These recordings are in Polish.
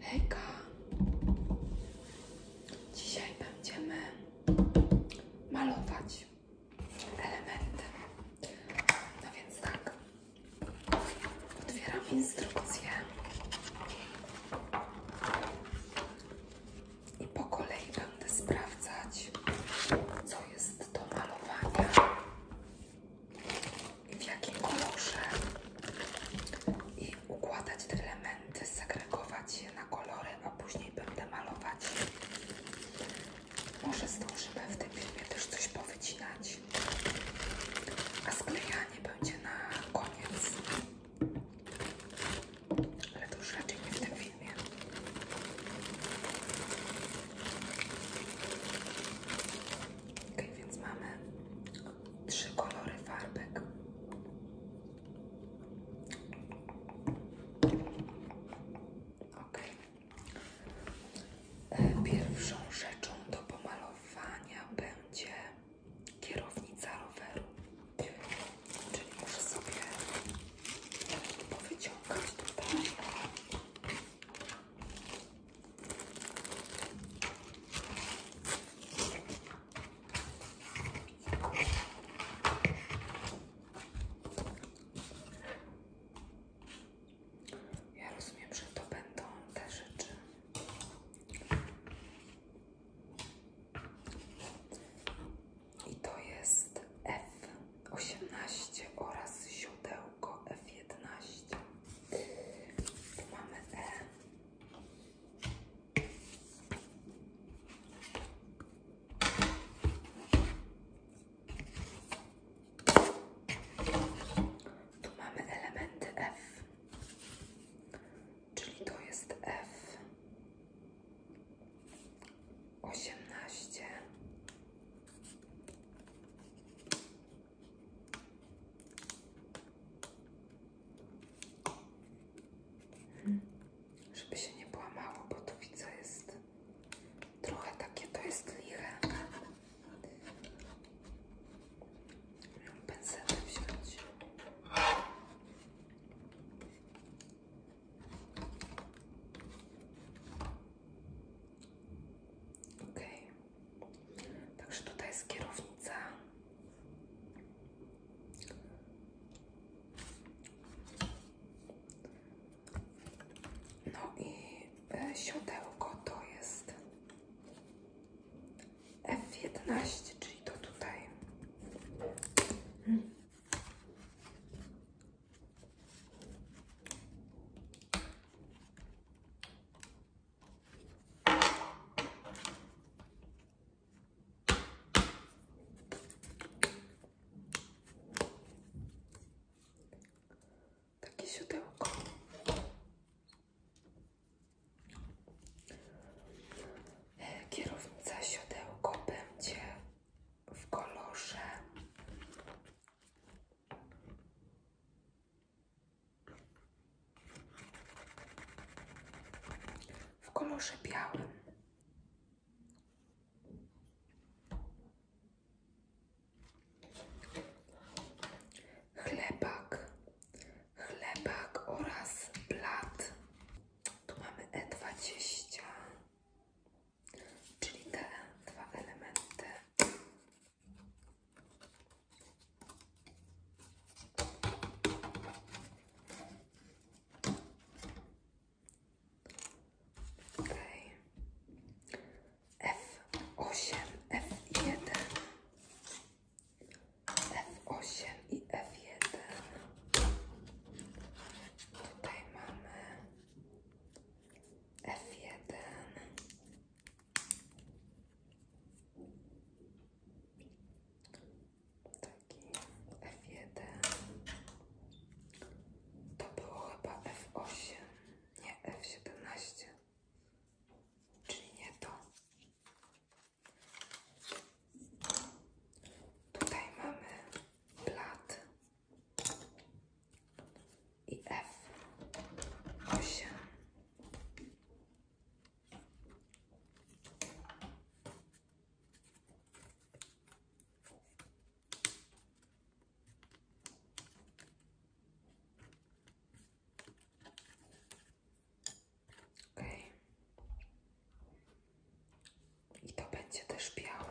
Hejka! Dzisiaj będziemy malować elementy. No więc tak, otwieram instrukcję i po kolei będę sprawdzać, co jest do malowania w jakim kolorze i układać te elementy, segregować je na kolory, a później będę malować. Może zdążymy w tym filmie też coś powycinać, a sklejanie będzie na koniec. Ale to już raczej nie w tym filmie. Ok, więc mamy trzy kolory farbek. Ok. E, pierwszą rzeczą do pomalowania będzie kierownica roweru. Czyli muszę sobie powyciągać tutaj ja rozumiem, że to będą te rzeczy. I to jest F18 oraz źródeł auko f mamy E. mamy elementy F, czyli to jest F osiemnaście Hmm. Żeby się nie połamało, bo tu widzę jest trochę takie, to jest liche. Miałam pędzelę wziąć. Okej. Także tutaj jest kierownica. No i e, siodełko to jest F11, czyli to tutaj. Takie siodełko. E, kierownica siodełko będzie w kolorze w kolorze białym. Chlebak, chlebak oraz blat. Tu mamy E20, czyli te dwa elementy f osiem, F1, f osiem i F1. Tutaj mamy f jeden. F1. To było chyba F8, nie F17. Czyli nie to. Tutaj mamy plat i F8 i to będzie też białe.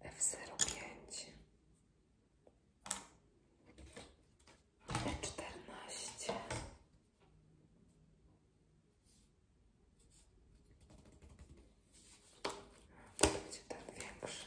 F05 E14 to będzie ten większy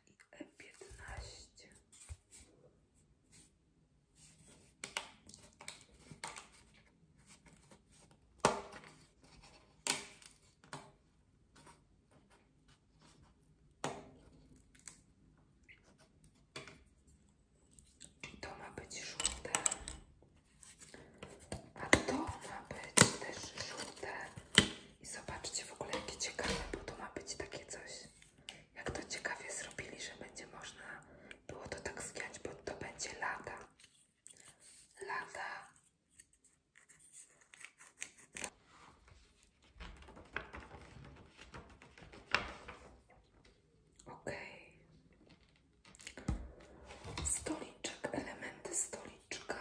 i e to ma być żółte, a to ma być też żółte i zobaczcie w ogóle jakie ciekawe, bo to ma być takie coś. Jak to ciekawie zrobili, że będzie można było to tak zgiąć, bo to będzie lata, Lada. Ok. Stoliczek, elementy stoliczka.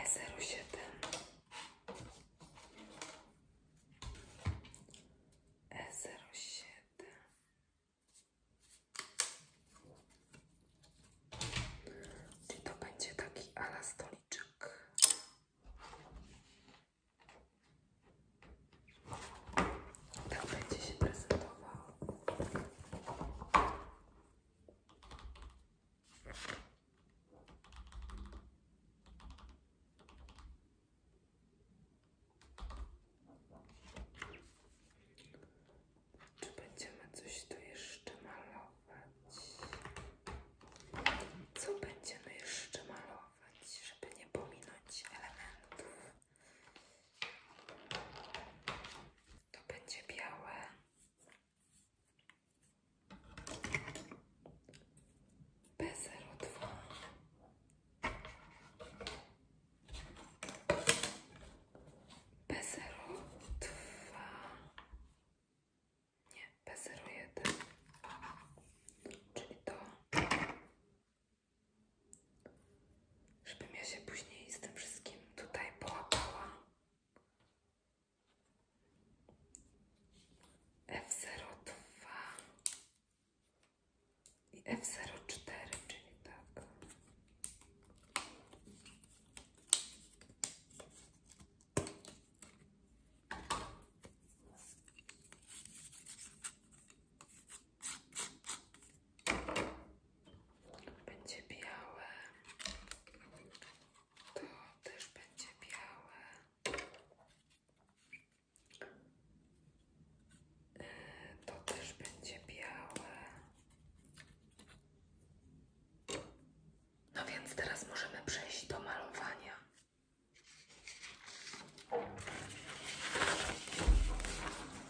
E07 E07 i to będzie taki ala to będzie się prezentował. Czy będziemy coś tu jeszcze malować? Co będziemy jeszcze malować, żeby nie pominąć elementów? To będzie białe. P02. P02. Nie, P01. Czyli to. Żebym ja się później z tym wszystkim tutaj połapała. F02 i F04, czyli tak. Będzie białe. To też będzie białe. E, to też będzie białe. No więc teraz możemy przejść do malowania.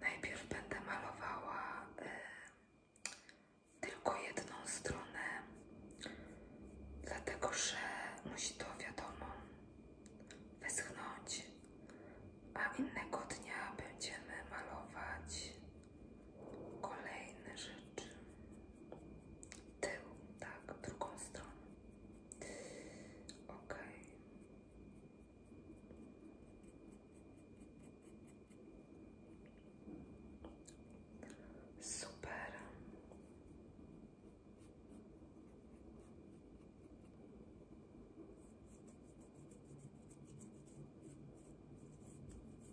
Najpierw będę malowała y, tylko jedną stronę, dlatego że musi to wiadomo wyschnąć, a innego dnia będziemy malować Kolejne rzeczy. Ty, tak, drugą stronę. Ok. Super.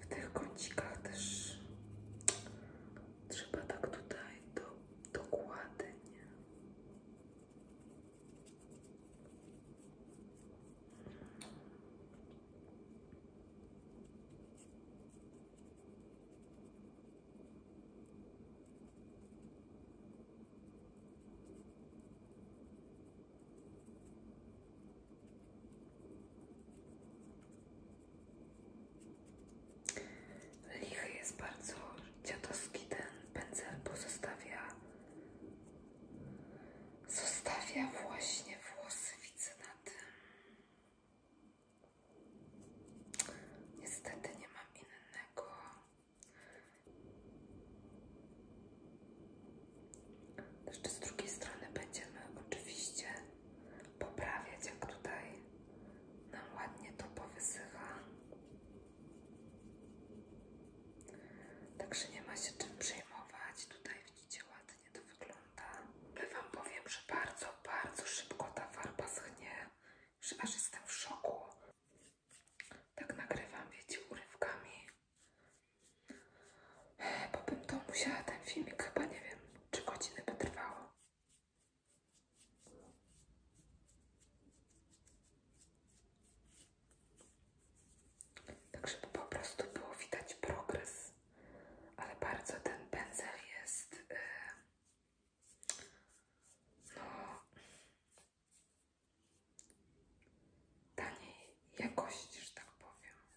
w tych kącikach też trzeba tak tutaj do, dokładnie Lichy jest bardzo dziadowski ten pędzel, bo zostawia, zostawia właśnie włosy, widzę na Niestety nie mam innego. Jeszcze z drugiej strony będziemy oczywiście poprawiać, jak tutaj nam ładnie to powysycha. Także nie ma się czym przejmować. Tutaj widzicie ładnie to wygląda. Ale Wam powiem, że bardzo, bardzo szybko ta farba schnie. Że aż jestem w szoku. Tak nagrywam, wiecie, urywkami. Bo bym to musiała, ten filmik chyba, nie wiem, czy godziny by trwało. Tak, po prostu było widać progres, ale bardzo ten pędzel jest, yy, no, taniej jakości, że tak powiem.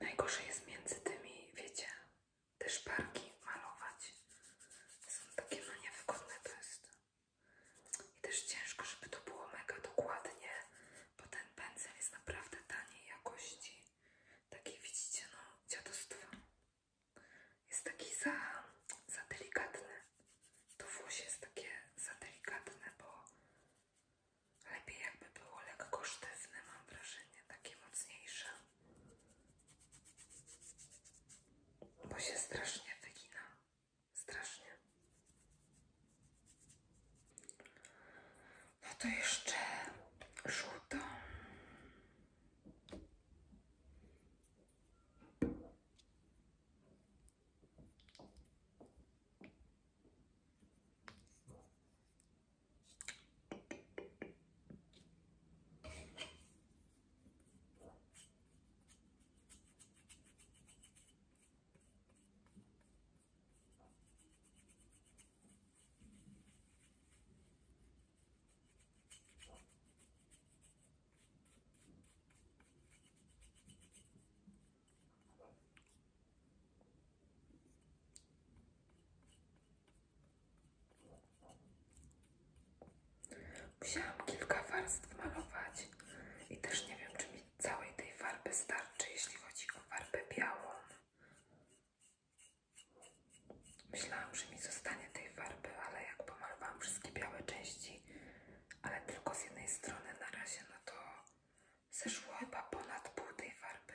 Najgorzej jest między tymi, wiecie, te szparki malować. Są takie no niewygodne to jest. I też ciężko, żeby to było mega dokładnie, bo ten pędzel jest naprawdę taniej jakości. Takie widzicie, no dziadostwo. Jest taki za, za delikatny. To włos jest takie za delikatne, bo lepiej jakby było lekko sztywne, mam wrażenie, takie mocniejsze. Bo się strasznie wygina. Strasznie. No to jeszcze żółto. Musiałam kilka warstw malować i też nie wiem, czy mi całej tej farby starczy, jeśli chodzi o farbę białą. Myślałam, że mi zostanie tej farby, ale jak pomalowałam wszystkie białe części, ale tylko z jednej strony na razie, no to zeszło chyba ponad pół tej farby.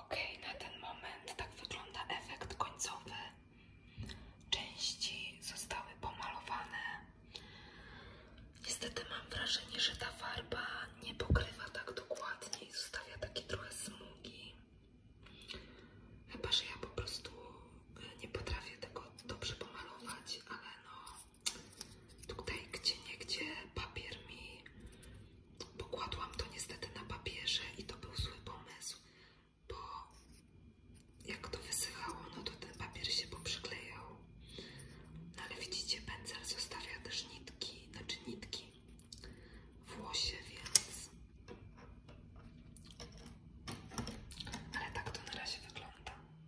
Ok, na ten moment tak wygląda efekt końcowy. Części zostały pomalowane. Niestety mam wrażenie, że ta farba nie pokrywa tak dokładnie i zostawia takie trochę smugi. Chyba, że ja po prostu y, nie potrafię tego dobrze pomalować, ale no Tutaj gdzie niegdzie papier mi pokładłam to niestety na papierze i to był zły pomysł, bo jak to wysychało, no to ten papier się poprzyklejał. No ale widzicie, pędzel zostawia też nitki, znaczy nitki w łosie, więc. Ale tak to na razie wygląda.